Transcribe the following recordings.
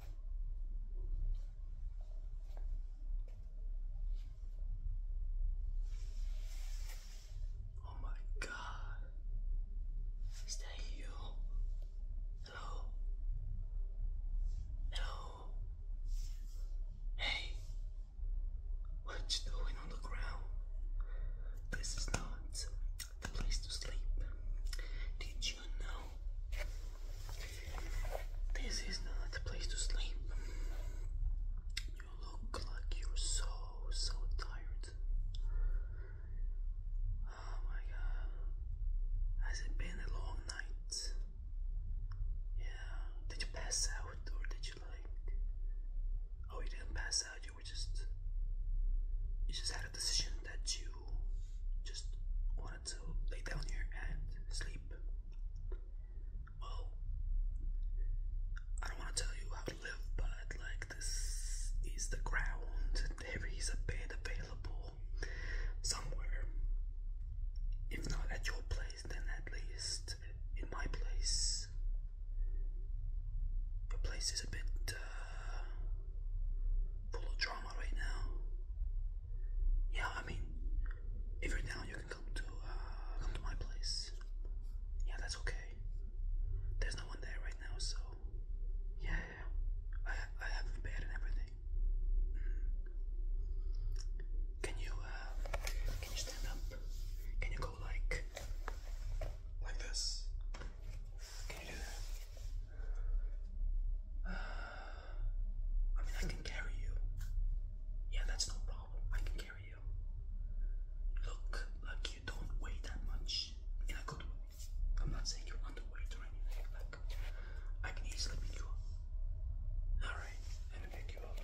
Oh my God! Is that you? Hello? Hello? Hey! What you doing on the ground? This is not the place to sleep. Did you you this is not a place to sleep. You look like you're so, so tired. Oh my god. Has it been a long night? Yeah. Did you pass out or did you like Oh you didn't pass out, you were just you just had a decision that you just to lay down here and sleep. Well, I don't want to tell you how to live, but like this is the ground. There is a bed available somewhere. If not at your place, then at least in my place. Your place is a bit uh, full of drama right now. Yeah, I mean, if you're down, you can come to uh, come to my place. Yeah, that's okay. There's no one there right now, so yeah, I I have a bed and everything. Mm. Can you uh, can you stand up? Can you go like like this? Can you do that? I mean, I can carry you. Yeah, that's no problem. I can carry you. Look, like you don't weigh that much in a good way. I'm not saying you're underweight or anything. Like, I can easily pick you up. All right, let me pick you up.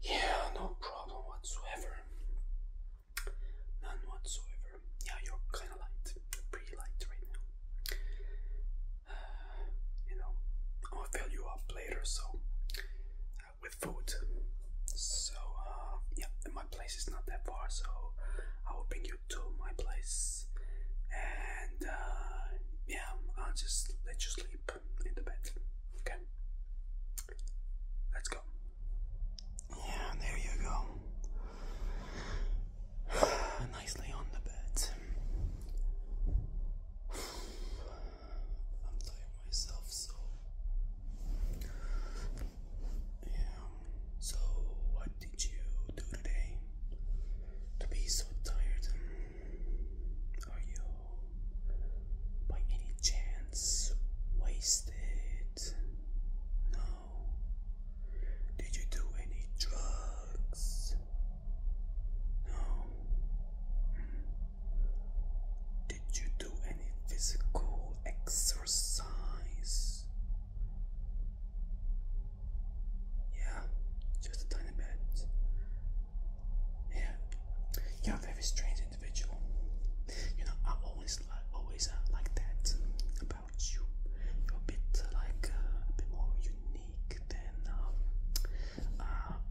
yeah, no problem whatsoever. None whatsoever. Yeah, you're kind of light. pretty light right now. you know, I'll fill you up later, so uh, with food. So, uh, yeah, my place is not that far, so I will bring you to my place, and uh, yeah, I'll just let you sleep in the bed. Okay. Let's go. Yeah, there you go. Nicely on the bed. I'm tired myself, so. Yeah. So, what did you do today to be so tired? Are you, by any chance, wasted? States? No. Did you do any drugs? No. Did you do any physical exercise? Yeah, just a tiny bit. Yeah. You're very strange individual. You know, I always always uh, like that about you. You're a bit uh, like uh, a bit more unique than um,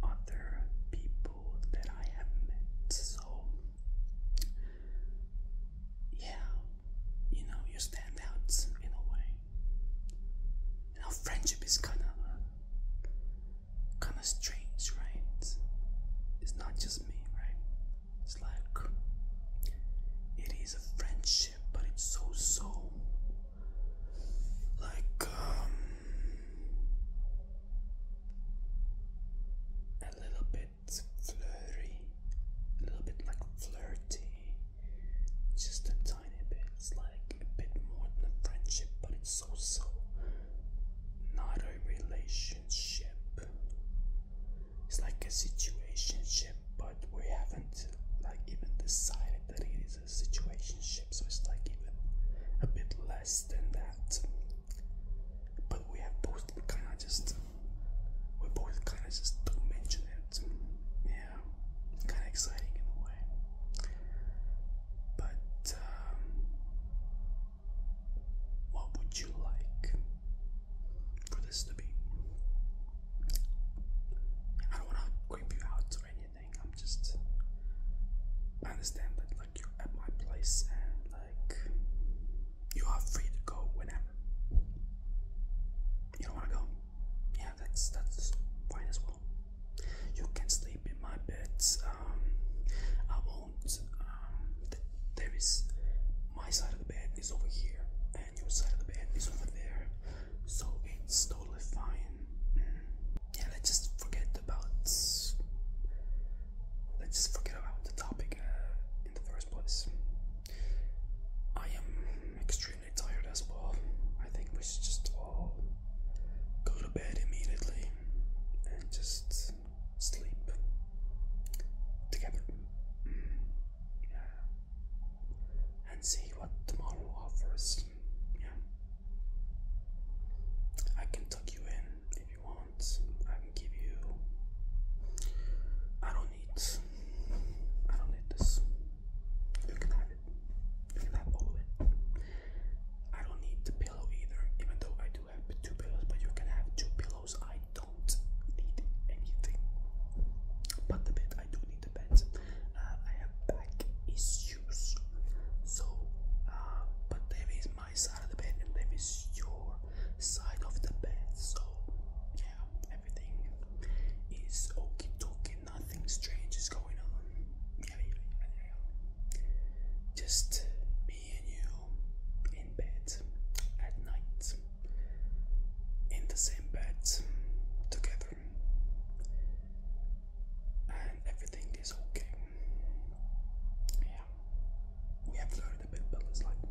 other people that I have met. So yeah, you know, you stand out in a way. You friendship is kind of kind of strange, right? It's, not just me, right? It's like it is a friendship, but it's so so like um a little bit flirty, a little bit like flirty, just a tiny bit. It's like a bit more than a friendship, but it's so so not a relationship. It's like a situationship, but we haven't like even decided that it is a situationship, so it's like even a bit less than that. But we have both kind of just we both kind of just don't mention it. Yeah, kind of exciting in a way. But um, what would you like for this to be? I don't want to creep you out or anything. I'm just. understand that, like, you're at my place and, like, you are free to go whenever. You don't want to go? Yeah, that's that's fine as well. You can sleep in my bed. Um, um, there is my side of the bed is over here, and your side of the bed is over there, so it's totally fine. Mm. Yeah, let's just forget about. Let's just forget about the topic uh, in the first place. I am extremely tired as well. I think we should just all go to bed immediately and just sleep together yeah. and see what tomorrow offers. Yeah. I can tuck you in if you want. I can give you. I don't need. I don't need this. You can have it. You can have all of it. I don't need the pillow either, even though I do have two pillows, but you can have two pillows. I don't need anything but the bed. I do need the bed. Uh, I have back issues, so uh, but there is my side of the bed and there is your side of the bed. So yeah, everything is okay, dokie. Nothing strange is going on. yeah, yeah, yeah. Just me and you in bed at night, in the same bed together, and everything is okay. Yeah, we have learned a bit, but like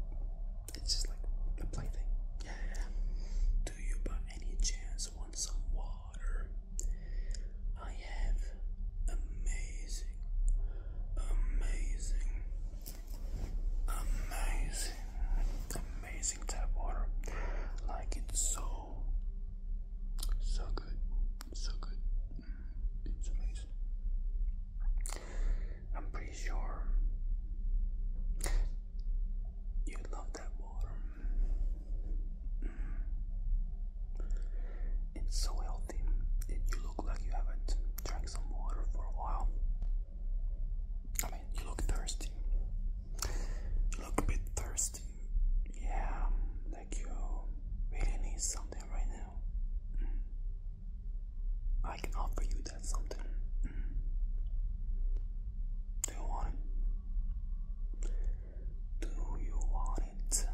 it's just like a plaything. Yeah, yeah. Do you by any chance want some water? I have amazing, amazing, amazing, amazing tap water. Like it's so, so good, so good. Mm, it's amazing. I'm pretty sure you love that water. Mm. It's so healthy, you look like you haven't drank some water for a while. I mean, you look thirsty. You look a bit thirsty. Yeah, like you really need something right now. Mm. I can offer you that something. Mm. Do you want it? Do you want it?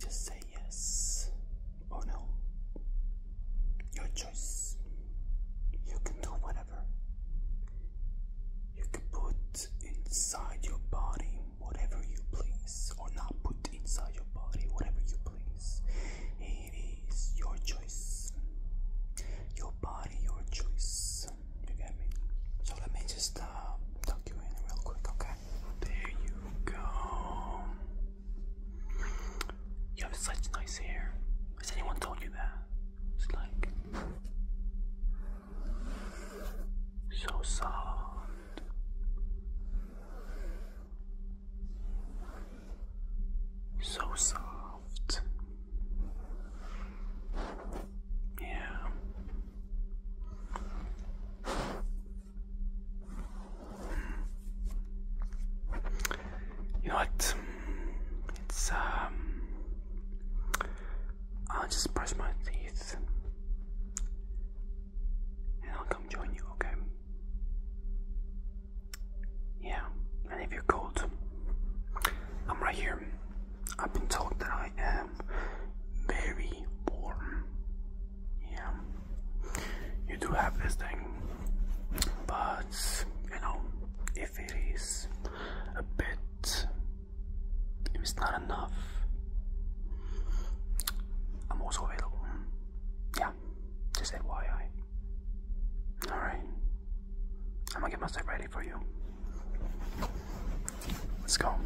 Just say yes or no. Your choice. You can do whatever. You can put inside your body whatever you please, or not put inside your body whatever you please. It is your choice. Your body, your choice. You get me? So let me just uh, tuck you in real quick, okay? There you go. You have such nice hair. Has anyone told you that? It's like so soft. So soft. Yeah. You know what? It's um I'll just brush my teeth and I'll come join you, okay? Yeah, and if you're cold, I'm right here. I've been told that I am very warm yeah, you do have this thing, but you know, if it is a bit, it's not enough, I'm also available. Yeah, just FYI. Alright, I'm gonna get myself ready for you. Let's go.